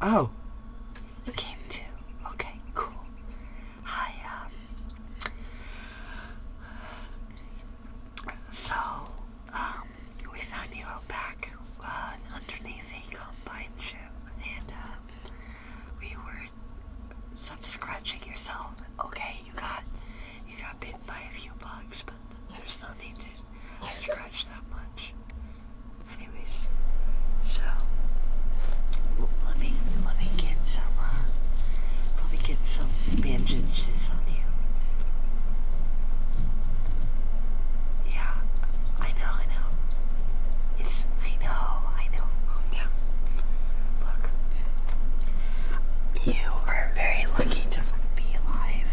Oh. You came too. Okay, cool. Hi, um, So, um, we found Nero back uh, underneath the combine ship, and, uh, we were some scratching yourself. Okay, you got, you got bitten by a few bugs, but there's nothing to scratch that much. Anyways, so let me let me get some uh, let me get some bandages on you. Yeah, I know, I know. It's I know, I know. Oh yeah. Look. You are very lucky to be alive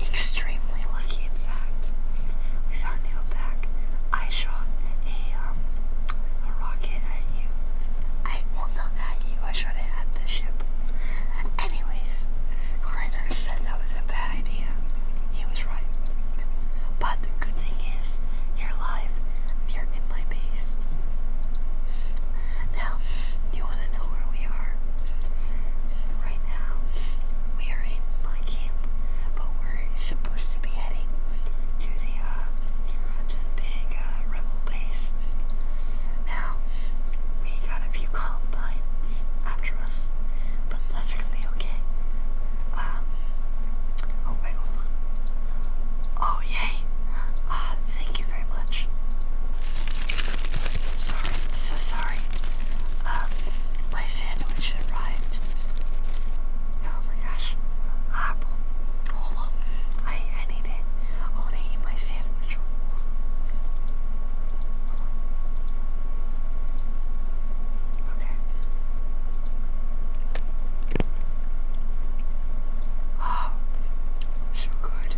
extremely lucky, in fact. We found out back. I shot a, um, a rocket at you. I, well, not at you, I shot it at the ship. Anyways, Kleiner said that was a bad idea. He was right. But the good thing is, you're alive. You're in my base. Now, do you want to know where we are? Right now, we are in my camp, but we're supposed to be heading to the uh, to the big uh, rebel base. Now, we got a few columbines after us, but that's gonna be okay. Um, oh wait, Oh yay! Uh, thank you very much. Sorry, so sorry. Um, my sandwich arrived. Oh my gosh. Um, hold on. I, I need it. I want to eat my sandwich. Okay. Oh, ah, sugar good.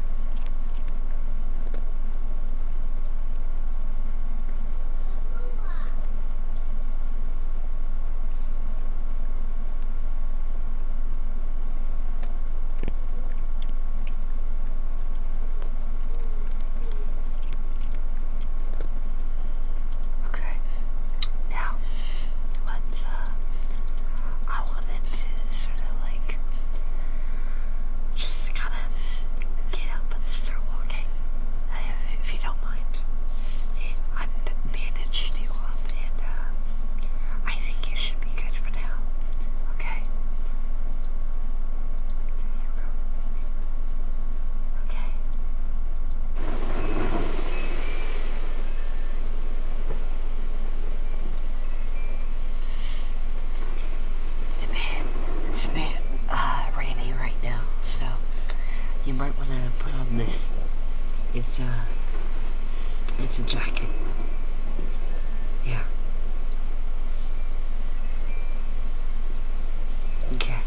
Okay, now let's, uh, I wanted to sort of like just kind get up and start walking, uh, if you don't mind. I've managed you up, and uh, I think you should be good for now. Okay. Okay. It's a bit, it's a bit uh, rainy right now, so you might want to put on this. It's a, uh, it's a jacket. Yeah. Okay.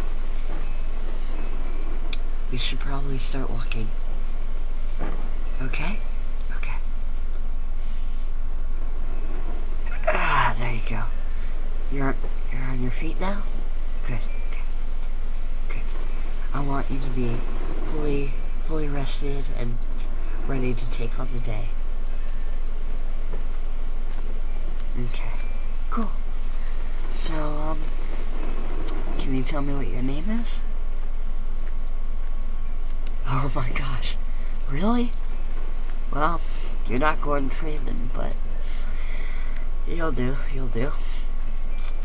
We should probably start walking. Okay? Okay. Ah, there you go. You're, you're on your feet now? Good, good, good. I want you to be fully, fully rested and ready to take on the day. Okay, cool. So, um, can you tell me what your name is? Oh my gosh, really? Well, you're not Gordon Freeman, but you'll do, you'll do.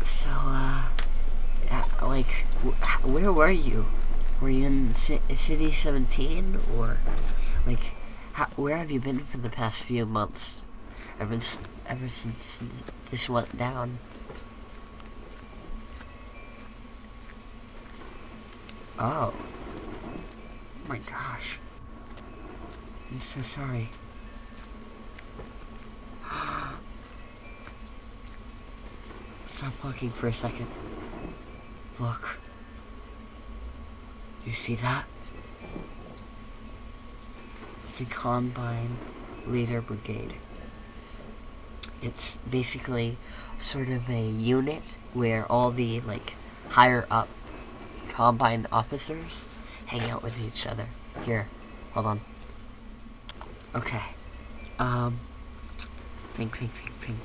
So, uh, uh like, where were you? Were you in City 17, or, like, how, where have you been for the past few months? Ever, ever since this went down? Oh. oh. my gosh. I'm so sorry. Stop looking for a second. Look. Do you see that? It's the Combine Leader Brigade. It's basically sort of a unit where all the like higher up combine officers hang out with each other. Here, hold on. Okay. Um. Pink, pink, pink, pink.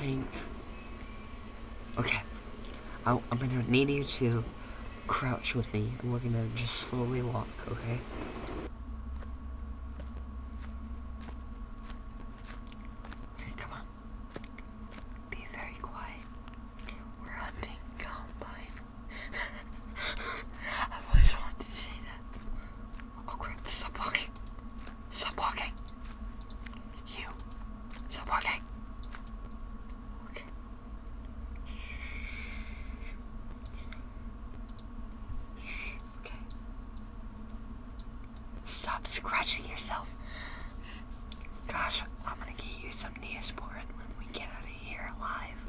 Pink. Okay. Oh, I, am gonna need you to crouch with me, and we're gonna just slowly walk, okay? Okay, come on. Be very quiet. We're hunting combine. i always wanted to say that. Oh crap, stop walking. Stop walking. You. Stop walking. Okay. Okay. Stop scratching yourself. Gosh, I'm gonna get you some Neosporin when we get out of here alive.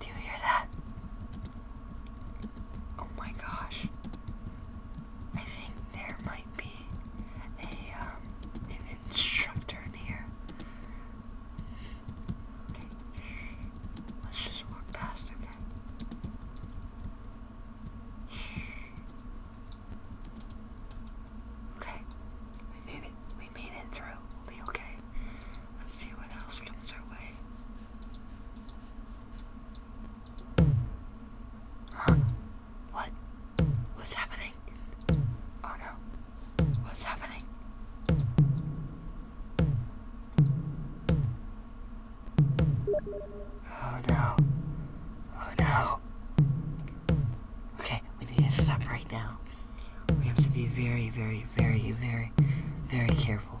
Do you hear that? Oh my gosh. I think there might be a, um, an instructor in here. Okay, let's just walk past, okay? Okay, we made it. We made it through. We'll be okay. Let's see what else comes our way. Huh? What? What's happening? Oh no. What's happening? Oh no. Oh no. Okay, we need to stop right now. We have to be very, very, very, very, very careful.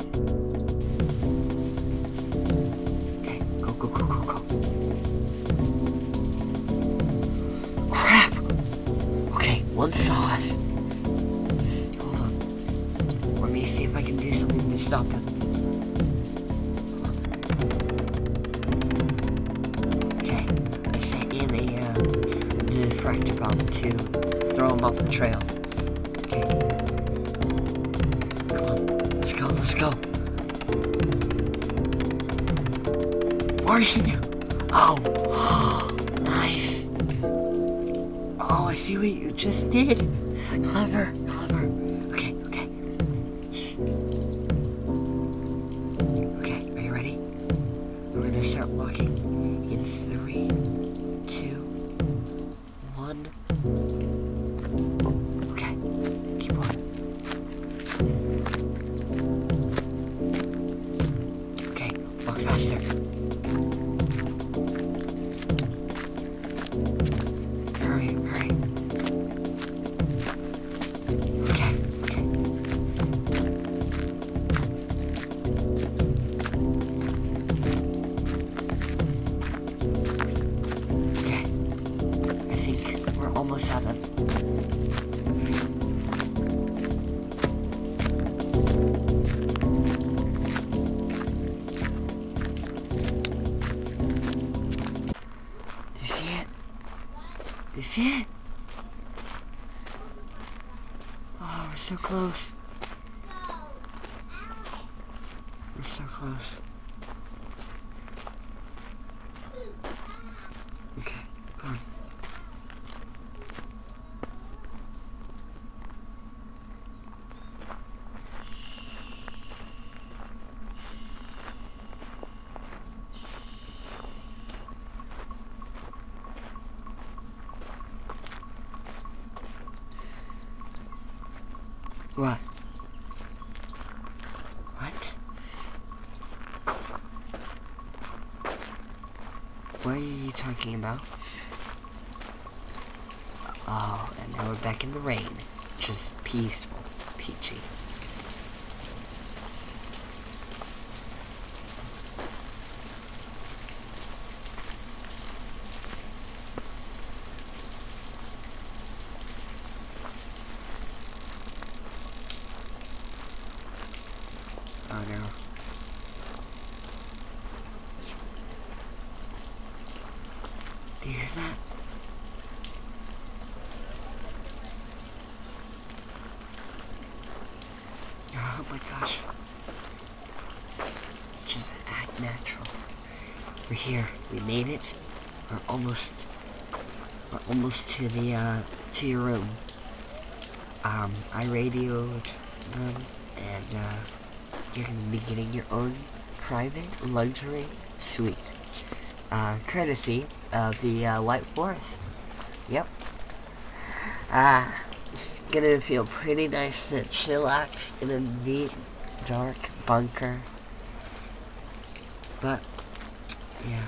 Okay, go, go, go, go, go. Crap! Okay, one sauce. Hold on. Let me see if I can do something to stop him. Okay, I sent in a, uh, a diffractor problem to throw him off the trail. Okay. Let's go, let's go. you? Oh! nice! Oh, I see what you just did. Clever, clever. Okay, okay. Okay, are you ready? We're gonna start walking in three, two, one. Okay, keep on. Okay, walk faster. Hurry, hurry. Okay, okay. Okay. I think we're almost out of That's it. Oh, we're so close. We're so close. Okay, come what? What? What are you talking about? Oh, and now we're back in the rain. Just peaceful, peachy. Oh no. Do you hear that? Oh my gosh. Just act natural. We're here. We made it. We're almost. We're almost to the uh, to your room. Um, I radioed them, and uh, you're beginning your own private luxury suite, uh, courtesy of the uh, White Forest. Yep. Ah, it's gonna feel pretty nice to chillax in a deep, dark bunker. But, yeah.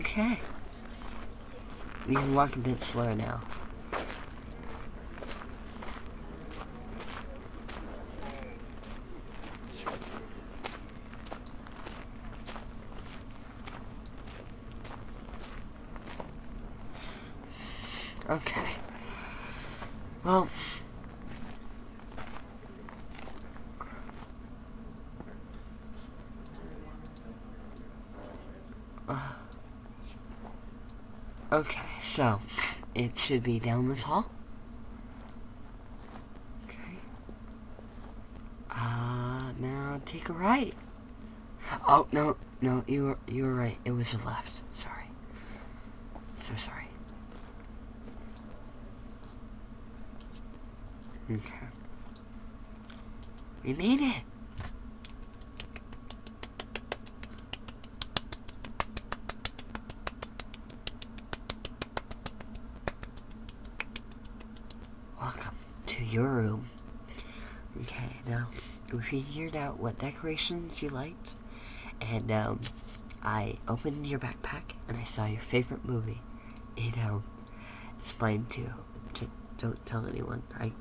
Okay. We can walk a bit slower now. Okay. Well... Uh, okay, so, it should be down this hall. Okay. Uh, now take a right. Oh, no, no, you were, you were right. It was a left. Sorry. So sorry. Okay. We made it! Welcome to your room. Okay, now we figured out what decorations you liked, and um, I opened your backpack and I saw your favorite movie. It um, it's fine too. J don't tell anyone. I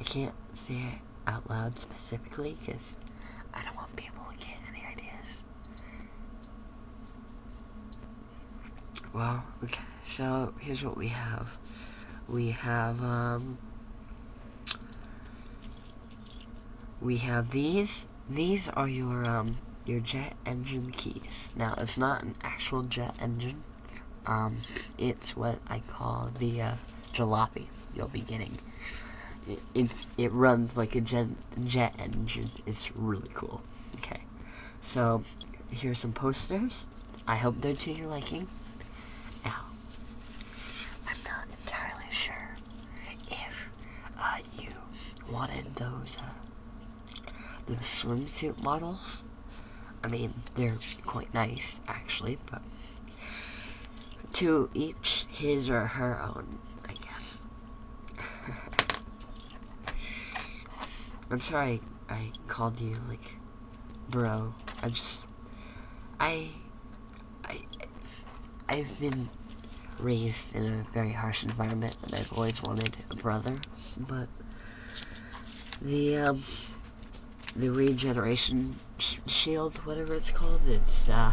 I can't say it out loud specifically because I don't want people to get any ideas. Well, okay, so here's what we have. We have, um, we have these. These are your, um, your jet engine keys. Now, it's not an actual jet engine. Um, it's what I call the, uh, jalopy you'll be getting. It, it's, it runs like a jet jet engine. It's really cool. Okay. So, here are some posters. I hope they're to your liking. Now, I'm not entirely sure if uh, you wanted those uh, those swimsuit models. I mean, they're quite nice actually, but to each his or her own, I guess. I'm sorry I, called you like bro. I just I I I've been raised in a very harsh environment and I've always wanted a brother, but the um the regeneration shield, whatever it's called, it's uh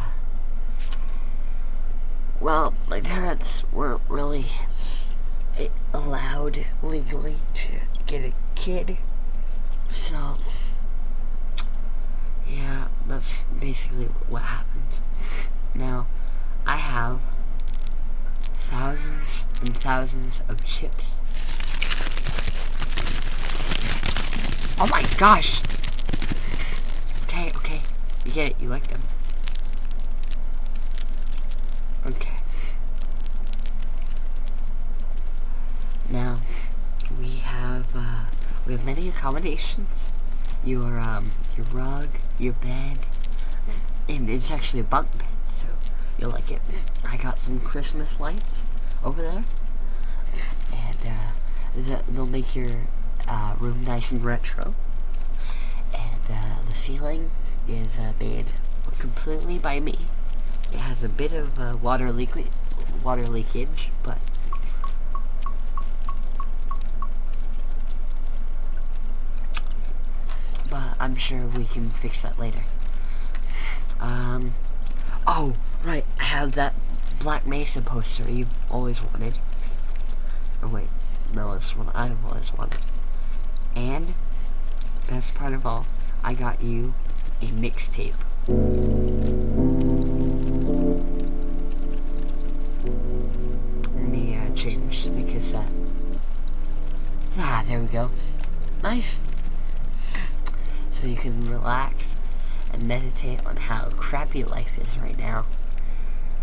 well, my parents weren't really eh, allowed legally to get a kid. So, yeah, that's basically what happened. Now, I have thousands and thousands of chips. Oh my gosh! Okay, okay. You get it, you like them. Okay. Now, we have uh, we have many accommodations. Your um your rug, your bed, and it's actually a bunk bed, so you'll like it. I got some Christmas lights over there, and uh, they'll make your uh, room nice and retro and uh, the ceiling is uh, made completely by me. It has a bit of uh, water leak water leakage, but but I'm sure we can fix that later. Um, oh right, I have that Black Mesa poster you've always wanted. Oh wait, no, that's what I always wanted. And, best part of all, I got you a mixtape. Let change the Ah, there we go. Nice. So you can relax and meditate on how crappy life is right now.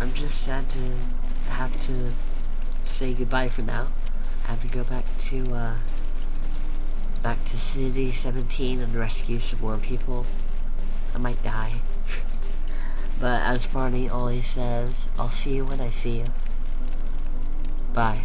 I'm just sad to have to say goodbye for now. I have to go back to uh, back to City 17 and rescue some more people. I might die. but as Barney always says, I'll see you when I see you. Bye.